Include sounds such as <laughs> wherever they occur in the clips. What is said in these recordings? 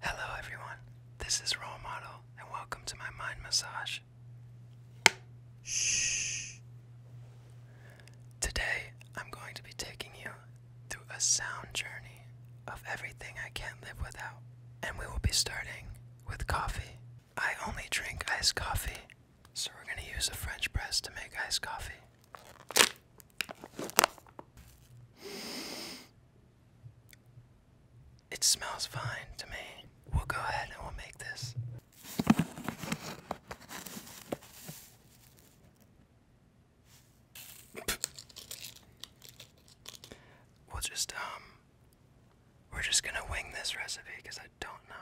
Hello, everyone. This is Role Model, and welcome to my mind massage. Shh. Today, I'm going to be taking you through a sound journey of everything I can't live without, and we will be starting with coffee. I only drink iced coffee, so we're going to use a French press to make iced coffee. It smells fine to me. We'll go ahead and we'll make this. We'll just, um, we're just gonna wing this recipe because I don't know.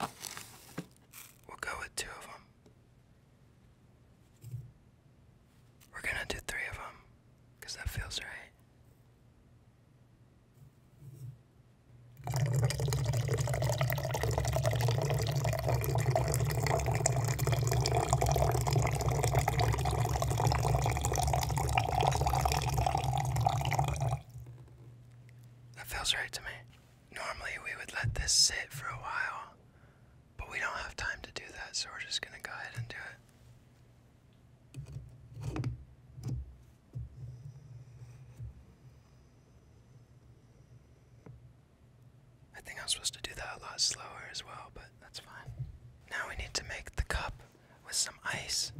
We'll go with two of them. We're gonna do three of them that feels right. That feels right to me. Normally, we would let this sit for a while, but we don't have time to do that, so we're just going to go ahead and do it. I think I'm supposed to do that a lot slower as well, but that's fine. Now we need to make the cup with some ice.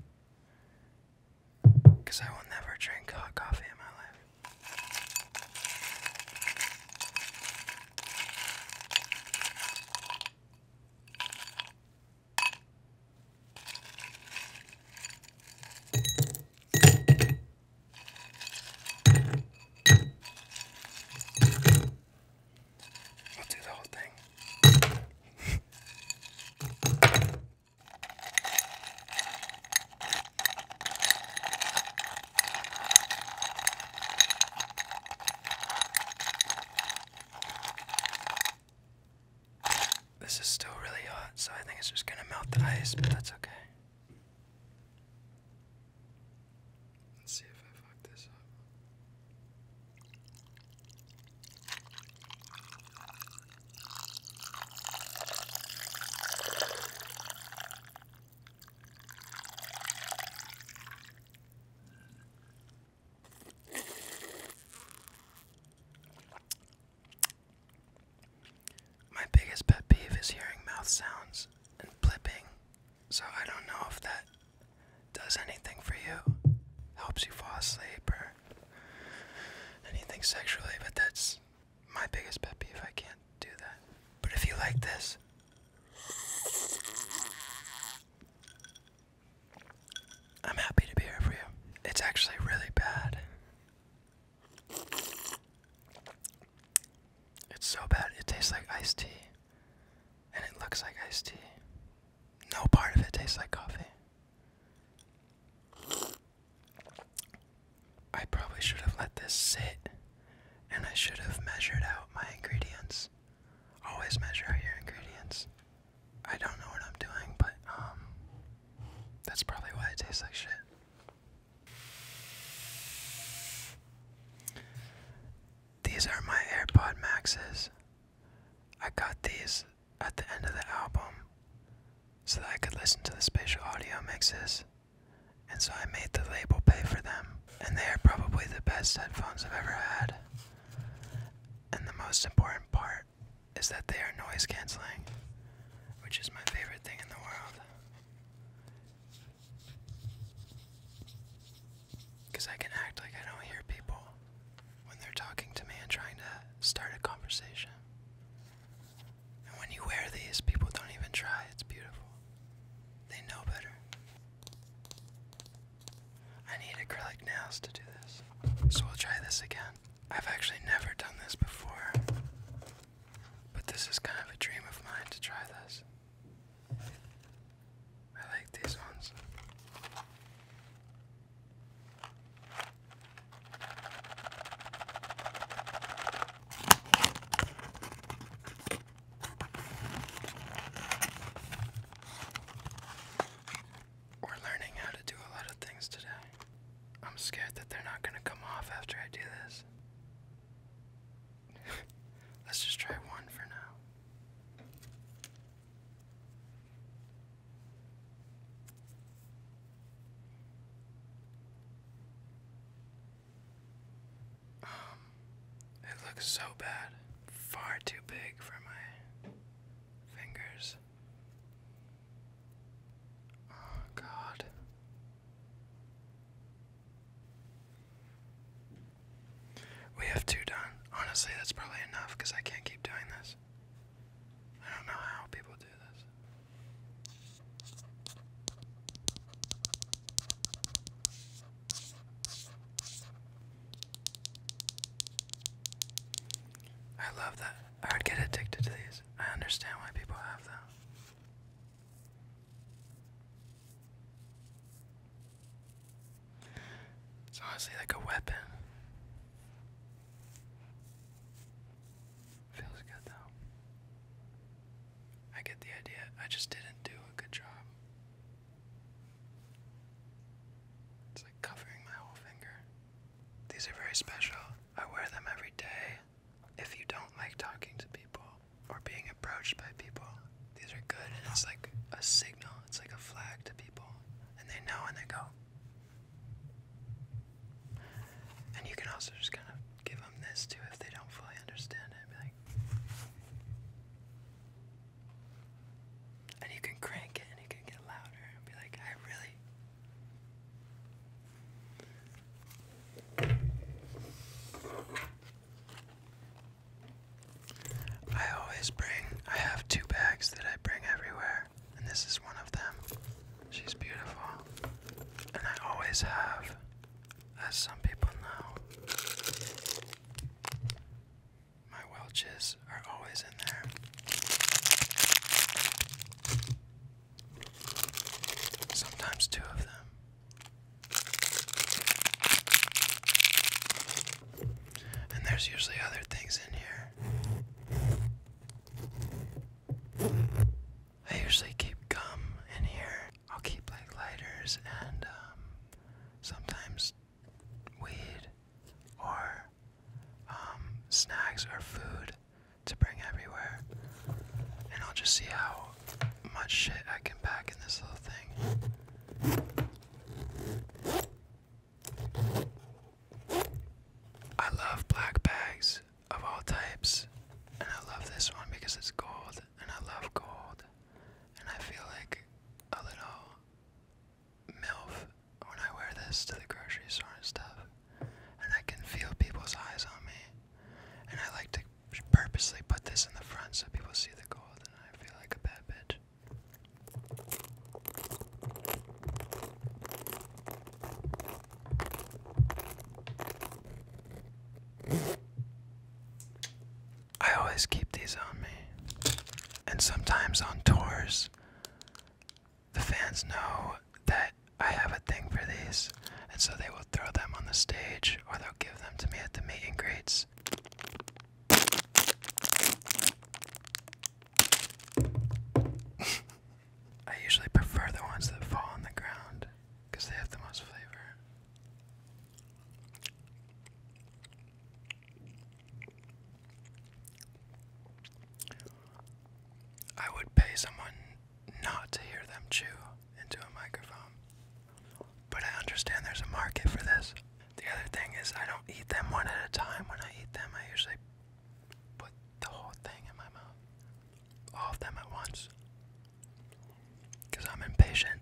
Because I will never drink hot coffee in my life. We'll do the whole thing. <laughs> This is still really hot, so I think it's just gonna melt the ice, but that's okay. Let's see if I fuck this up. My biggest pet peeve is hearing mouth sounds and blipping, so I don't know if that does anything for you. Helps you fall asleep or anything sexually, but that's my biggest pet peeve. I can't do that. But if you like this, I'm happy to be here for you. It's actually really bad. It's so bad. It tastes like iced tea. And it looks like iced tea. No part of it tastes like coffee. I probably should have let this sit and I should have measured out my ingredients. Always measure out your ingredients. I don't know what I'm doing, but um that's probably why it tastes like shit. These are my AirPod Maxes. I got these at the end of the album so that I could listen to the spatial audio mixes, and so I made the label pay for them. And they are probably the best headphones I've ever had. And the most important part is that they are noise canceling, which is my favorite thing in the world. Because I can act like I don't hear people when they're talking to me and trying to start a conversation. And when you wear these, people don't even try. It's beautiful. They know better. I need acrylic nails to do this. So we'll try this again. I've actually never done this before. But this is kind of a dream of mine to try this. I like these ones. We're learning how to do a lot of things today. I'm scared that they're not going to come off after I do this. <laughs> Let's just try one for now. Um, it looks so bad. Far too big for my fingers. Oh, God. We have two done. Honestly, that's probably enough because I can't keep doing this. I don't know how people do this. I love that. I would get addicted to these. I understand why people have them. It's honestly like a weapon. Feels good though. I get the idea. I just didn't do a good job. It's like covering my whole finger. These are very special. I wear them every day. If you don't like talking to people or being approached by people, these are good, and it's like a signal, it's like a flag to people, and they know and they go. And you can also just kind of give them this too if they don't fully understand it. and you can crank it and you can get louder be like, I really. I always bring, I have two bags that I bring everywhere, and this is one of them. She's beautiful. And I always have, as some people know, my Welches are always in there. Sometimes two of them. And there's usually other things in here. I usually keep gum in here. I'll keep like lighters and um, sometimes weed or um, snacks or food to bring everywhere. And I'll just see how much shit I can pack in this little thing. I love black bags of all types, and I love this one because it's gold, and I love gold, and I feel like a little MILF when I wear this to the grocery store and stuff, and I can feel people's eyes on me, and I like to purposely put this in the front so people see the gold. I feel like a bad bitch. I always keep these on me. And sometimes on tours, the fans know that I have a thing for these, and so they will throw them on the stage or they'll give them to me at the meet and greets. I usually prefer the ones that fall on the ground because they have the most flavor. I would pay someone not to hear them chew into a microphone. But I understand there's a market for this. The other thing is, I don't eat them one at a time. When I eat them, I usually put the whole thing in my mouth, all of them at once, because I'm impatient.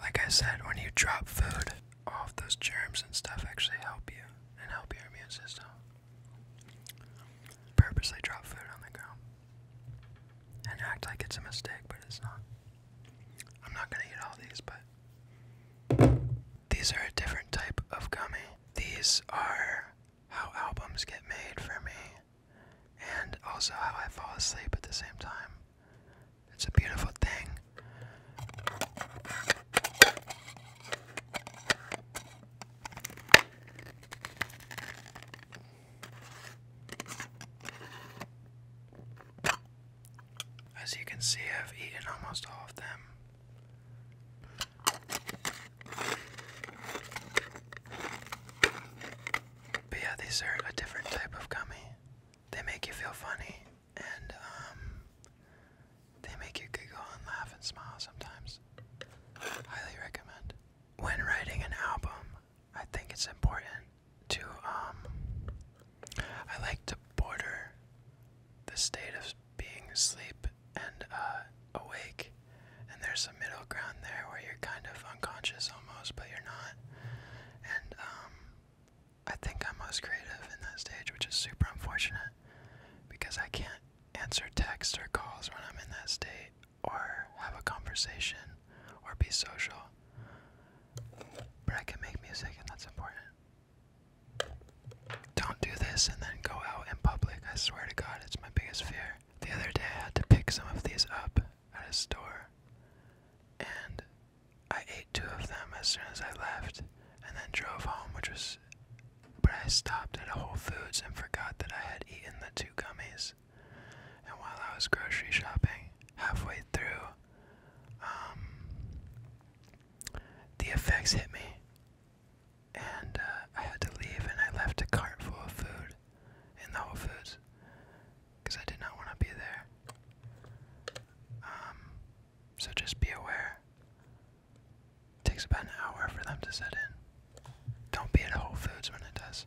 Like I said, when you drop food, all of those germs and stuff actually help you and help your immune system. Purposely drop food on the ground and act like it's a mistake, but it's not. I'm not gonna eat all these, but these are a different type of gummy. These are how albums get made for me, and also how I fall asleep at the same time. It's a beautiful thing. As you can see, I've eaten almost all of them. But yeah, these are a different type of gummy. They make you feel funny and um, they make you giggle and laugh and smile sometimes. Highly recommend. When writing an album, I think it's important to um, I like to border the state of being asleep and uh, awake, and there's a middle ground there where you're kind of unconscious almost, but you're not, and um, I think I'm most creative in that stage, which is super unfortunate because I can't answer texts or calls when I'm in that state or have a conversation or be social. But I can make music and that's important. Don't do this and then go out in public. I swear to God, it's my biggest fear. The other day I had to pick some of these up at a store and I ate two of them as soon as I left and then drove home, which was. But I stopped at a Whole Foods and forgot that I had eaten the two gummies. And while I was grocery shopping, halfway through, um, the effects hit me. And uh, I had to leave, and I left a cart full of food in the Whole Foods because I did not want to be there. Um, so just be aware. takes about an hour for them to set in. Don't be at Whole Foods when it does.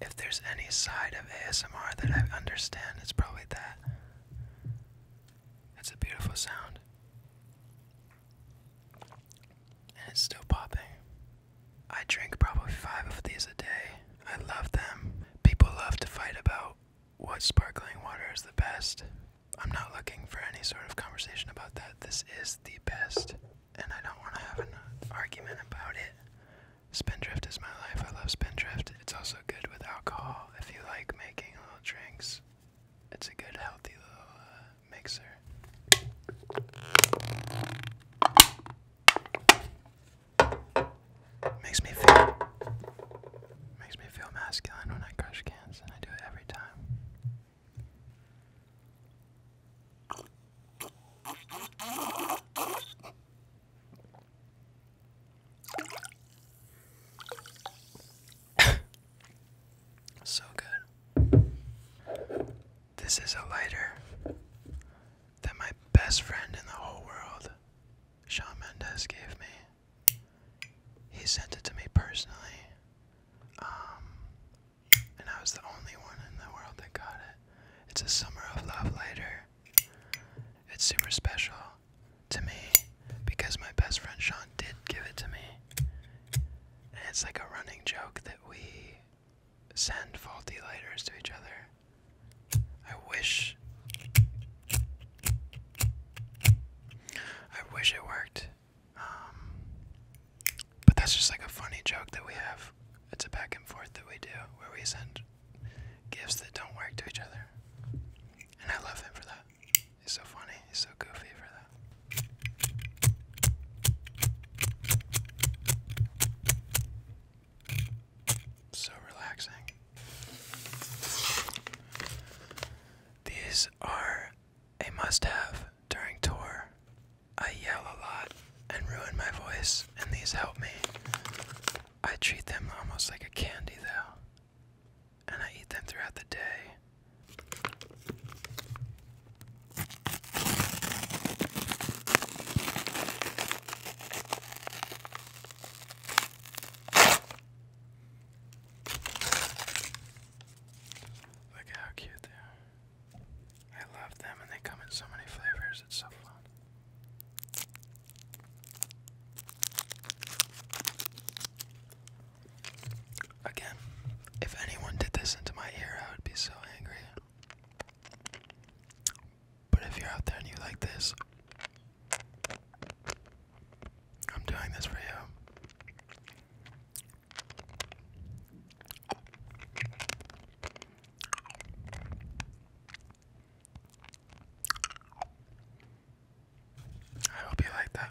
If there's any side of ASMR that I understand, it's probably that. It's a beautiful sound. And it's still popping. I drink probably five of these a day. I love them. People love to fight about what sparkling water is the best. I'm not looking for any sort of conversation about that. This is the best, and I don't want to have an argument about it. Spindrift is my life. I love Spindrift. It's also good with alcohol if you like making little drinks. It's a good, healthy little uh, mixer. Makes me feel makes me feel masculine when I crush cans, and I do it every time. <coughs> so good. This is a lighter that my best friend in the whole world, Shawn Mendes, gave me. He sent it to me personally. Um, and I was the only one in the world that got it. It's a Summer of Love lighter. It's super special to me because my best friend Sean did give it to me. And it's like a running joke that we send faulty lighters to each other. I wish I wish it worked. Um, but that's just like a funny joke that we have. It's a back and forth that we do where we send gifts that don't work to each other. And I love him for that. He's so funny, he's so goofy for that. So relaxing. These are a must have during tour I yell a lot and ruin my voice, and these help me. I treat them almost like a candy, though, and I eat them throughout the day. Look how cute they are. I love them and they come in so many flavors, it's so fun. Again, if anyone did this into my ear, I would be so angry. But if you're out there and you like this, I'm doing this for you. I hope you like that.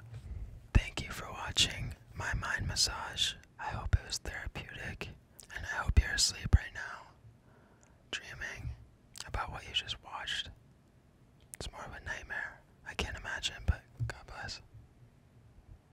Thank you for watching my mind massage. I hope it was therapeutic, and I hope you're asleep right now, dreaming about what you just watched. It's more of a nightmare. I can't imagine, but God bless.